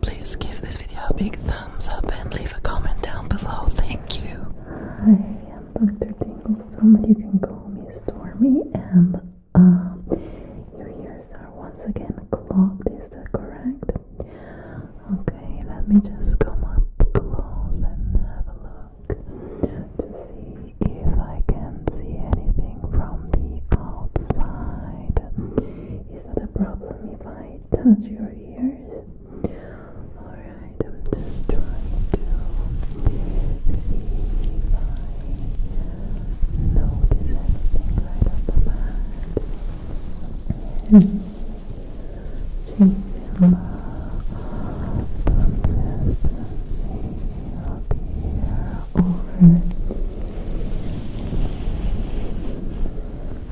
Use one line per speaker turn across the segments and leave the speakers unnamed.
Please give this video a big thumbs up and leave a comment down below. Thank you. Hi, I'm Dr. Tinglestorm. You can call me Stormy, and um, your ears are once again clogged. Is that correct? Okay, let me just come up close and have a look to see if I can see anything from the outside. Is that a problem if I I touch your ears? Alright, I'm just trying to see if notice anything right off the And she's in love. I'm just over.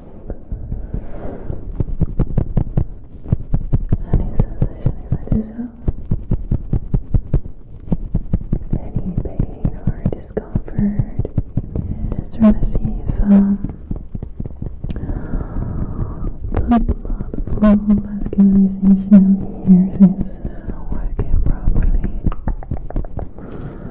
Any sensation if I do so? Any pain or discomfort? Just trying to see if um, the blood flow vascularization here is working properly.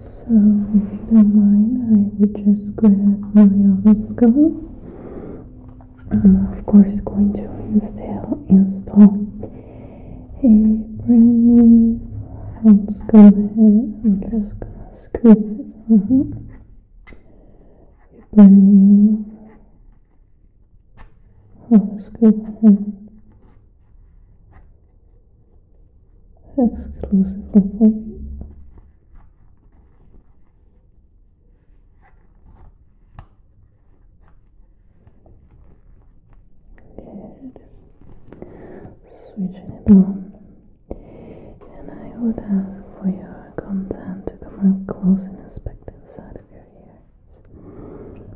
So, if you don't mind, I would just grab my otoscope. I'm, of course, going to install, install a brand new otoscope I'm just gonna screw it. Mm Brand new otoscope exclusively Good. Switching it on. And I would ask for your consent to come up close and inspect of your ears.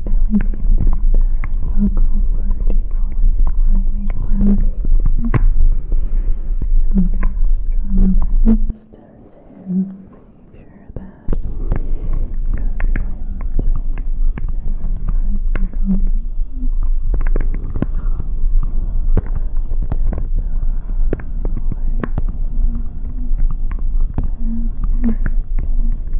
feeling good. Local birdie always rhyming well. So just try my best to make sure that good and nice and Thank you.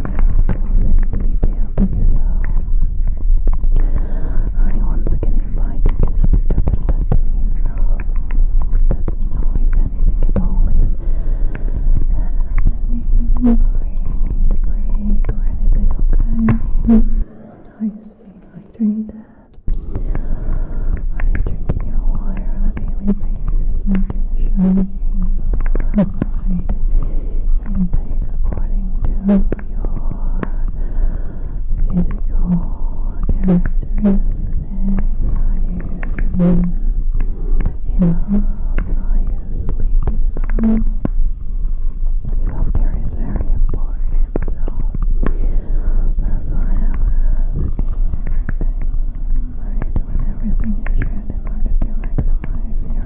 So, I once you to speak up and let Let me know if anything at all is happening, or need a break or anything, okay? Mm -hmm. Are you staying hydrated? Are you your water on a daily basis? Making applied intake according to your physical characteristics. Are you in love? you sleeping Self care is very important, so that's I'm asking. Right, when everything is good in order to maximize your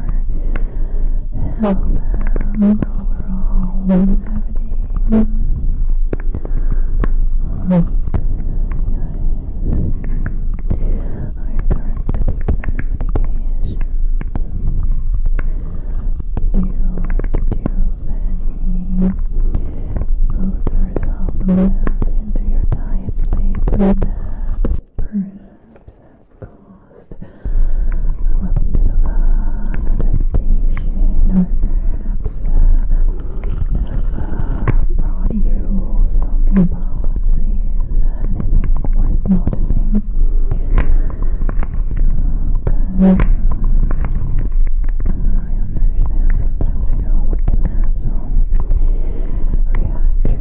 health and overall longevity. Look, our current particular medications do introduce any foods or supplements into your diet lately that perhaps have caused a little bit of an adaptation or perhaps have uh, brought you some new policies, anything worth noticing. Okay. I understand sometimes, you know, we can have some reactions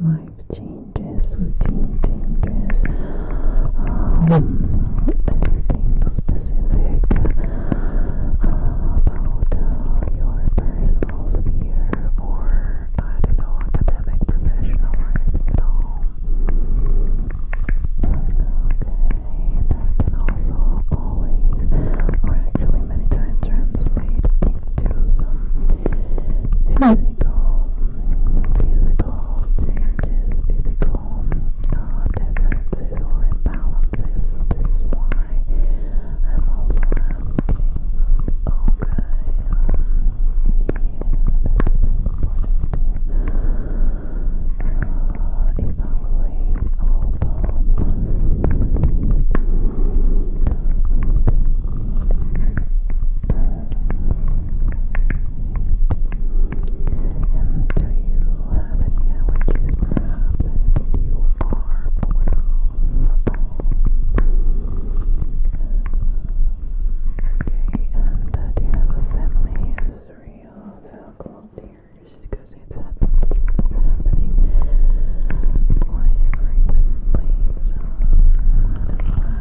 life changes, routine changes, um, anything specific uh, about your personal sphere or, I don't know, academic, professional, anything at all. Uh, okay, that can also always, or actually many times, translate into some physical, physical involves changes, physical uh, differences, or imbalances. this is why I'm also asking, okay, yeah, this is important to uh, have any allergies, perhaps? Anything to you are Okay, and uh, do you have a family history of alcohol tears? Because it's happening quite frequently, so I don't know.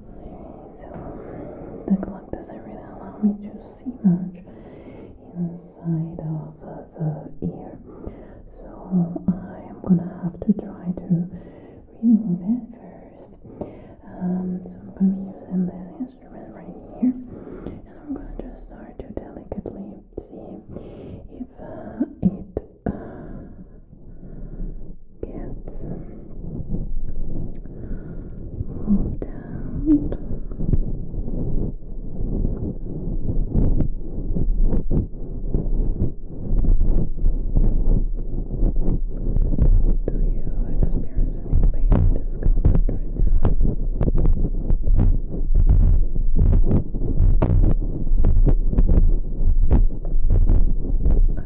So the clock doesn't really allow me to see much inside of the ear. So I am gonna have to try to remove it first. Um, so I'm gonna be using this instrument right here, and I'm gonna just start to delicately see if uh, it uh, Get moved out. Do you experience any pain or discomfort right now? I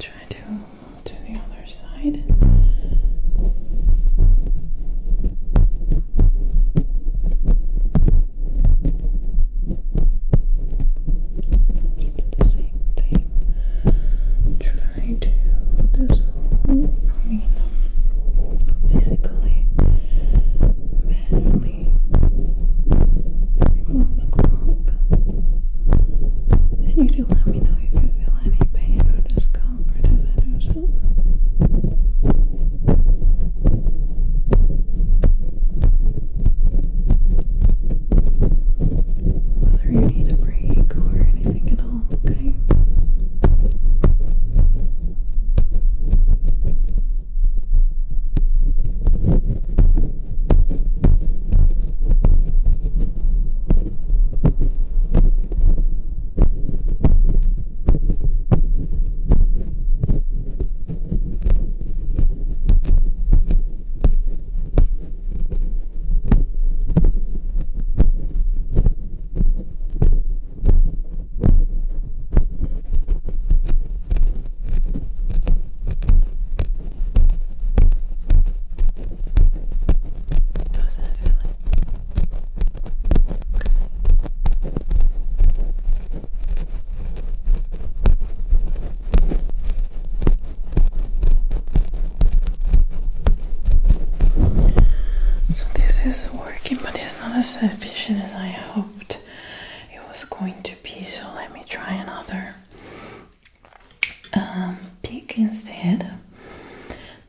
Try to to the other side. Keep the same thing. Try to dissolve. I mean, physically, manually remove the clock. And you do let me know if you feel any pain or discomfort as I do so. Whether you need a break or anything at all, okay? How's that feeling? Okay. So this is working, but it's not as efficient as I hoped it was going to be. So let me try another um, pick instead.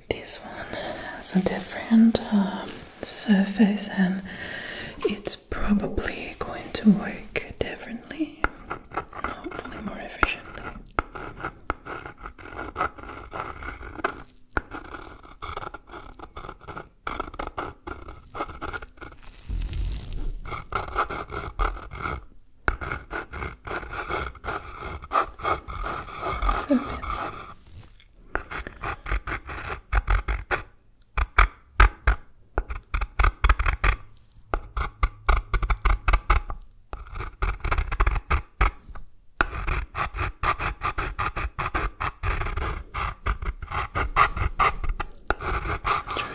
This one has a different. Um, surface and it's probably going to work differently hopefully more efficiently Trying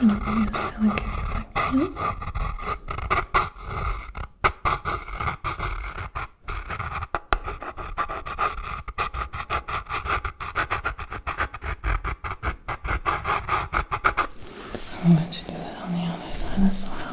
to be as delicate as I can. I'm going to do that on the other side as well.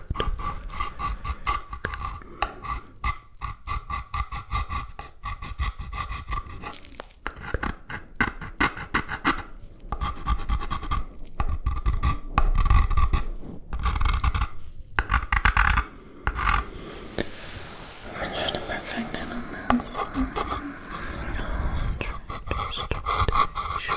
I'm trying to perfect it on this. Um, I'll try to start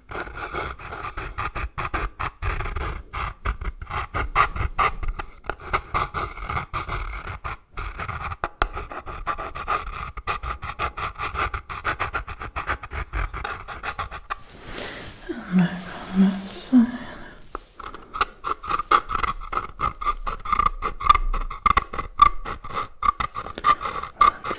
And over on that side. That's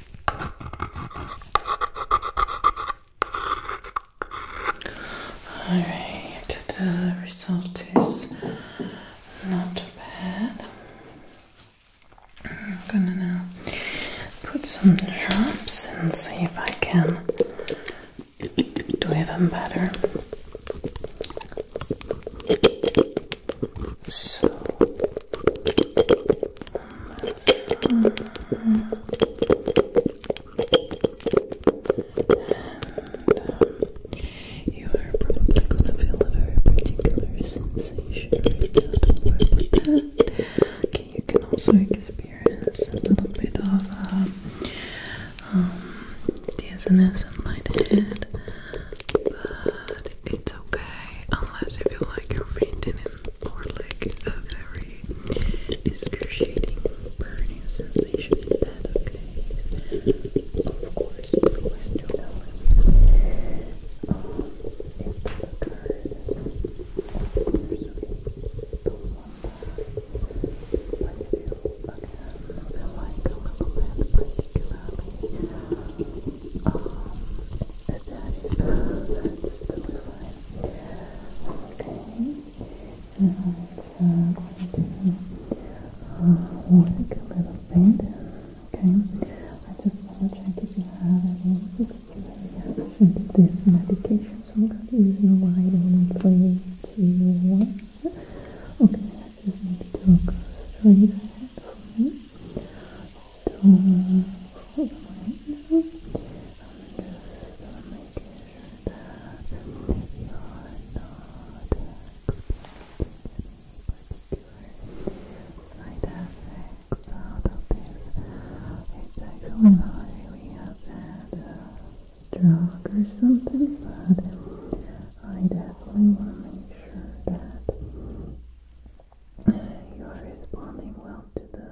Alright, the result is not bad. I'm gonna now put some drops and see if I can do even better. So, and, um, you are probably going to feel a very particular sensation Okay, you can also experience a little bit of dizziness and lighthead, but it's okay unless you feel like you're fainting in or like a very excruciating burning sensation in that okay? Of course you do that that that is totally fine. Okay. Now I'm uh, going to uh, work a little bit. Okay. I just want to check if you have any reaction to this medication. So I'm going to use a light on three, two, one. Okay, I just need to go straight ahead for me to hold right now. I'm just gonna make sure that you're not expecting any particular I definitely want to make sure that you are responding well to the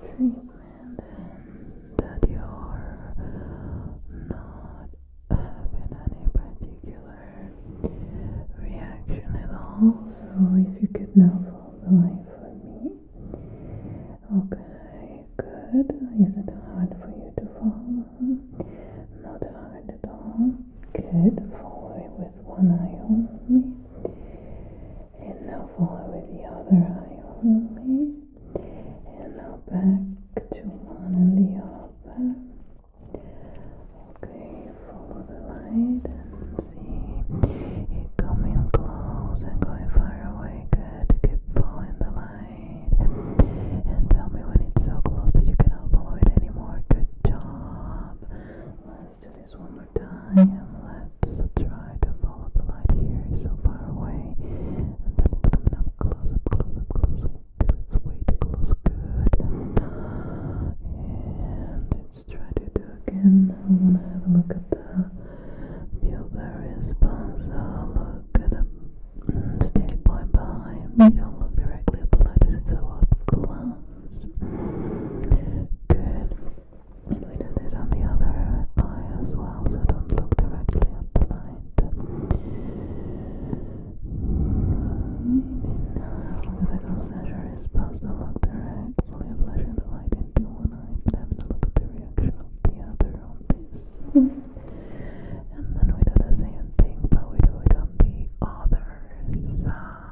treatment and that you are not having any particular reaction at all. So, if you could now follow the line for me. Okay, good. Is it hard for you to follow? Not hard at all. Good. Follow it with one eye only. And now follow with the other eye only. And now back to one and the other. Okay, follow the light and see it coming close and going far away. Good. Keep following the light. And tell me when it's so close that you cannot follow it anymore. Good job. Let's do this one more time. Let's try to follow the light here. It's so far away. And then it's coming up close, up close, up close. Until it's way too close. Good. And let's try to do again. I want to have a look at the blueberry response. I'll look at a um, steady point behind me. Don't look directly at the light. It's so up close. Good. Sweden is on the other eye as well, so don't look directly at the light. the ghost measure is supposed to look directly at the light into one eye, but having a look at the reaction of the other on this. and then we do the same thing, but we do it on the other side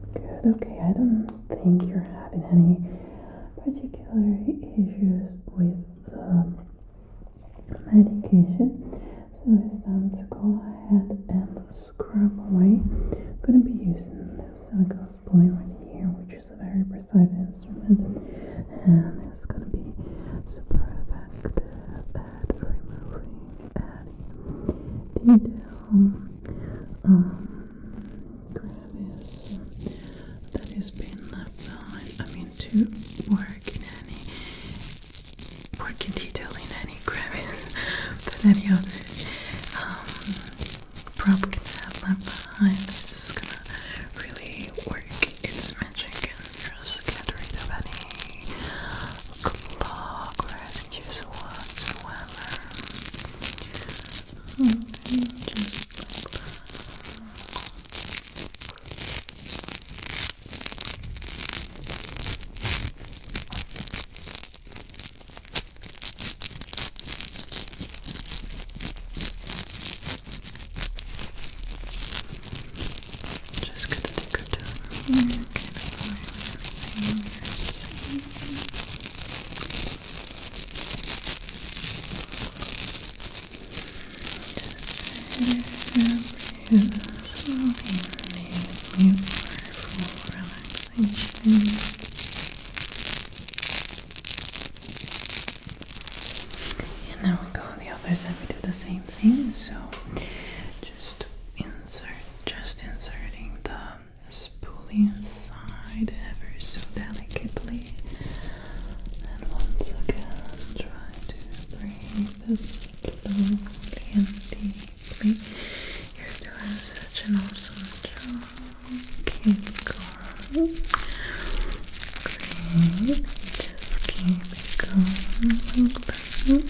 Good, okay. I don't think you're having any particular issues with the medication. So it's time to go ahead and scrub away. I'm gonna be using this silicone spoolie right here, which is a very precise instrument, and it's gonna be super effective at removing any detail um, grab is that has I mean, to work in any work in detail in any grammys, but any other um, prop can have left behind. This is gonna really work its magic and just get rid of any progress just whatsoever. Okay, just like that. Just gonna take her down. Mm-hmm gonna apply everything you're seeing. Just every And now we go on the others and we do the same thing. So just insert, just inserting the spoolie inside ever so delicately. And once again, try to bring this slowly and deeply. You do have such an awesome job. Keep going. Just keep going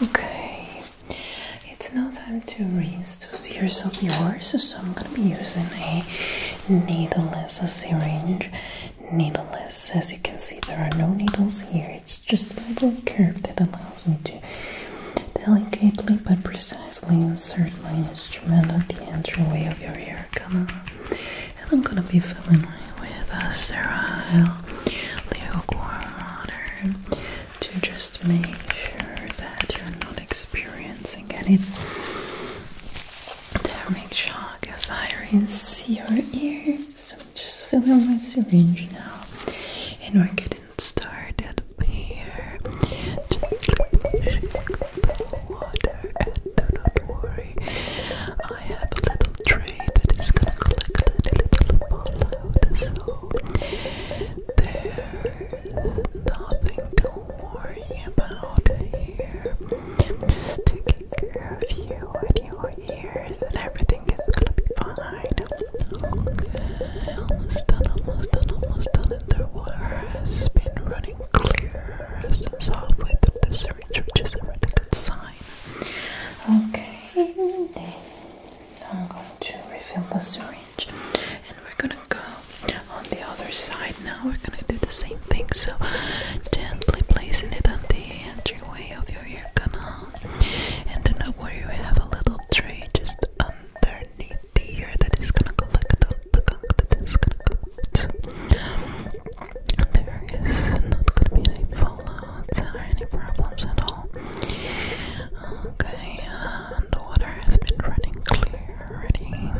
Okay, it's now time to rinse those ears of yours, so I'm gonna be using a needleless syringe needleless. As you can see, there are no needles here. It's just a little curve that allows me to delicately but precisely insert my instrument at the entryway of your ear color. And I'm gonna be filling it with a sterile lukewarm water to just make sure that you're not experiencing any damage on I esophagus, see your ears. So I'm just filling my syringe now, and we're getting started here. Just water, and do not worry. I have a little tray that is gonna collect any little fallout, so there's nothing to worry about here. Just take take care of you and your ears, and everything is gonna be fine. Almost done, almost done, almost done. And the water has been running clear since soft through the search, which is a really good sign. Okay, then I'm going to refill the syringe and we're gonna go on the other side now. We're gonna do the same thing. So, gently placing it on the edge entryway of your ear canal and the note where you have a little tray just underneath the ear that is gonna collect all the gunk that is gonna collect. There is not gonna be any fallouts or any problems at all. Okay, the water has been running clear already,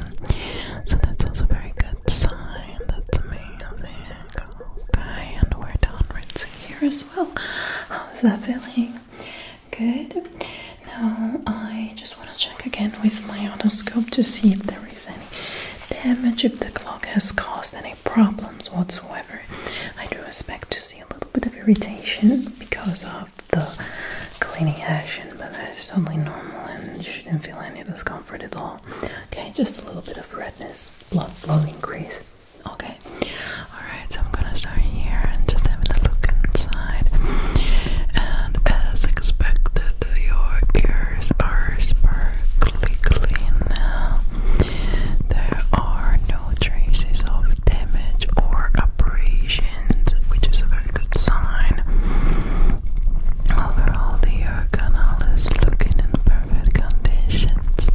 so that's also a very good sign. That's amazing. Okay, and we're done rinsing here as well. How's that feeling? Good. Now I just want to check again with my otoscope to see if there is any damage, if the clock has caused any problems whatsoever. I do expect to see a little bit of irritation because of the cleaning action, but that's totally normal and you shouldn't feel any discomfort at all. Okay, just a little bit of red. This blood flow increase. Okay, alright, so I'm gonna start here and just having a look inside. And as expected, your ears are sparkly clean There are no traces of damage or abrasions, which is a very good sign. Overall, the ear canal is looking in very perfect conditions.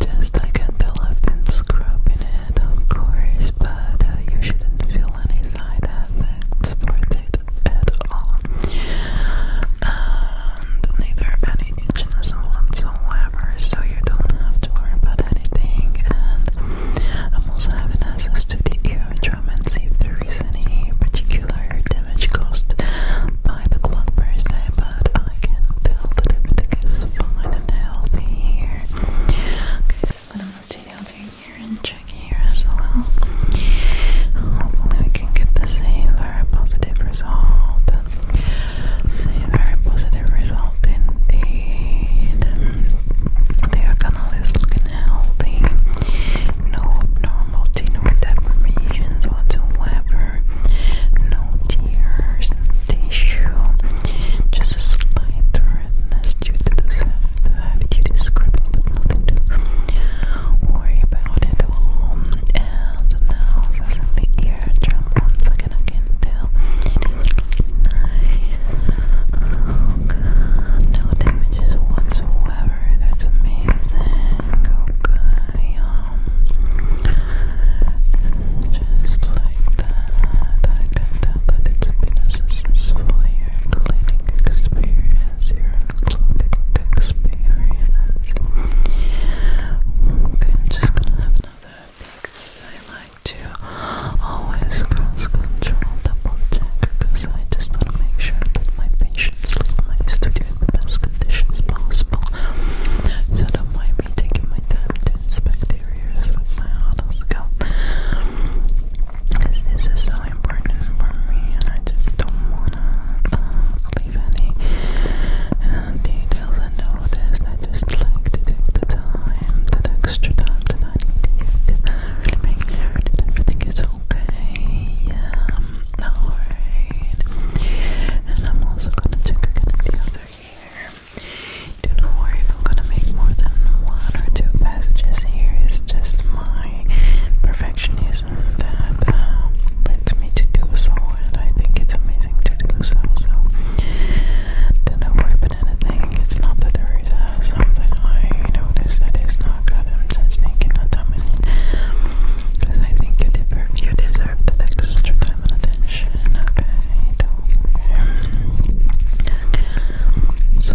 Just I can fill up and scrub in it, of course, but uh, you shouldn't feel any side effects for it at all. And neither any itchiness whatsoever, so you don't have to worry about anything. And I'm also having access to the eardrum and see if there is any particular damage caused by the clock per se, but I can tell that everything is fine and healthy here. Okay, so I'm gonna rotate here and check here as well. Hopefully, we can get the same very positive result. Same very positive result indeed. Their canal is looking healthy no abnormality, no deformations whatsoever, no tears tissue, just a slight redness due to the heavy duty scrubbing, but nothing to worry about at all. And now, this is the eardrum, once again, I can tell oh, no damages whatsoever, that's amazing okay, um, just like that, I can tell that it's been a successful year experience, your experience okay, I'm just gonna have another because I like to always cross control double check because I just want to make sure that my patient I used to do get the best conditions possible so don't mind me taking my time to inspect areas with my otoscope because this is so important for me and I just don't want to uh, leave any uh, details unnoticed I just like to take the time, that extra time that I need to, make sure everything is okay yeah Alright. And I'm also gonna check again the other ear. Do not worry if I'm gonna make more than one or two passages here. It's just my perfectionism that uh, me to do so, and I think it's amazing to do so. So, do not worry about anything. It's not that there is uh, something I noticed that is not good. I'm just because I think you deserve, you deserve the extra time and attention. Okay, So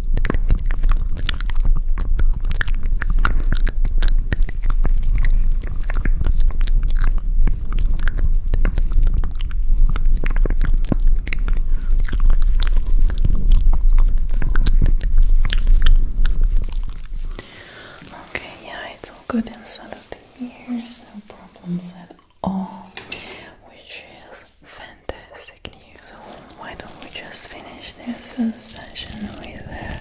Okay, yeah, it's all good inside of the ears, no problems at all, which is Fantastic news. So why don't we just finish this session with a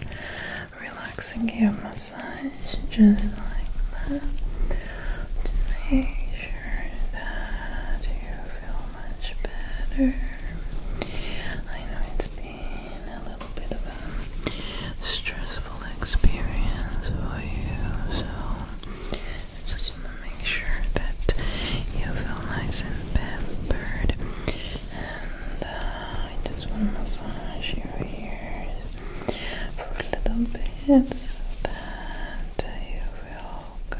relaxing ear massage, just like that, to make sure that you feel much better. I know it's been a little bit of a stressful experience for you, so I just want to make sure that you feel nice and pampered. And uh, I just want to massage your ears for a little bit so that you feel good.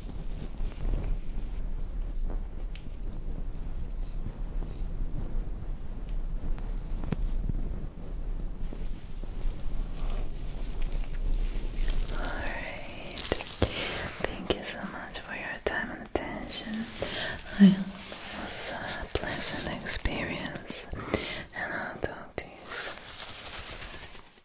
Alright. Thank you so much for your time and attention. I hope it was a pleasant experience and I'll talk to you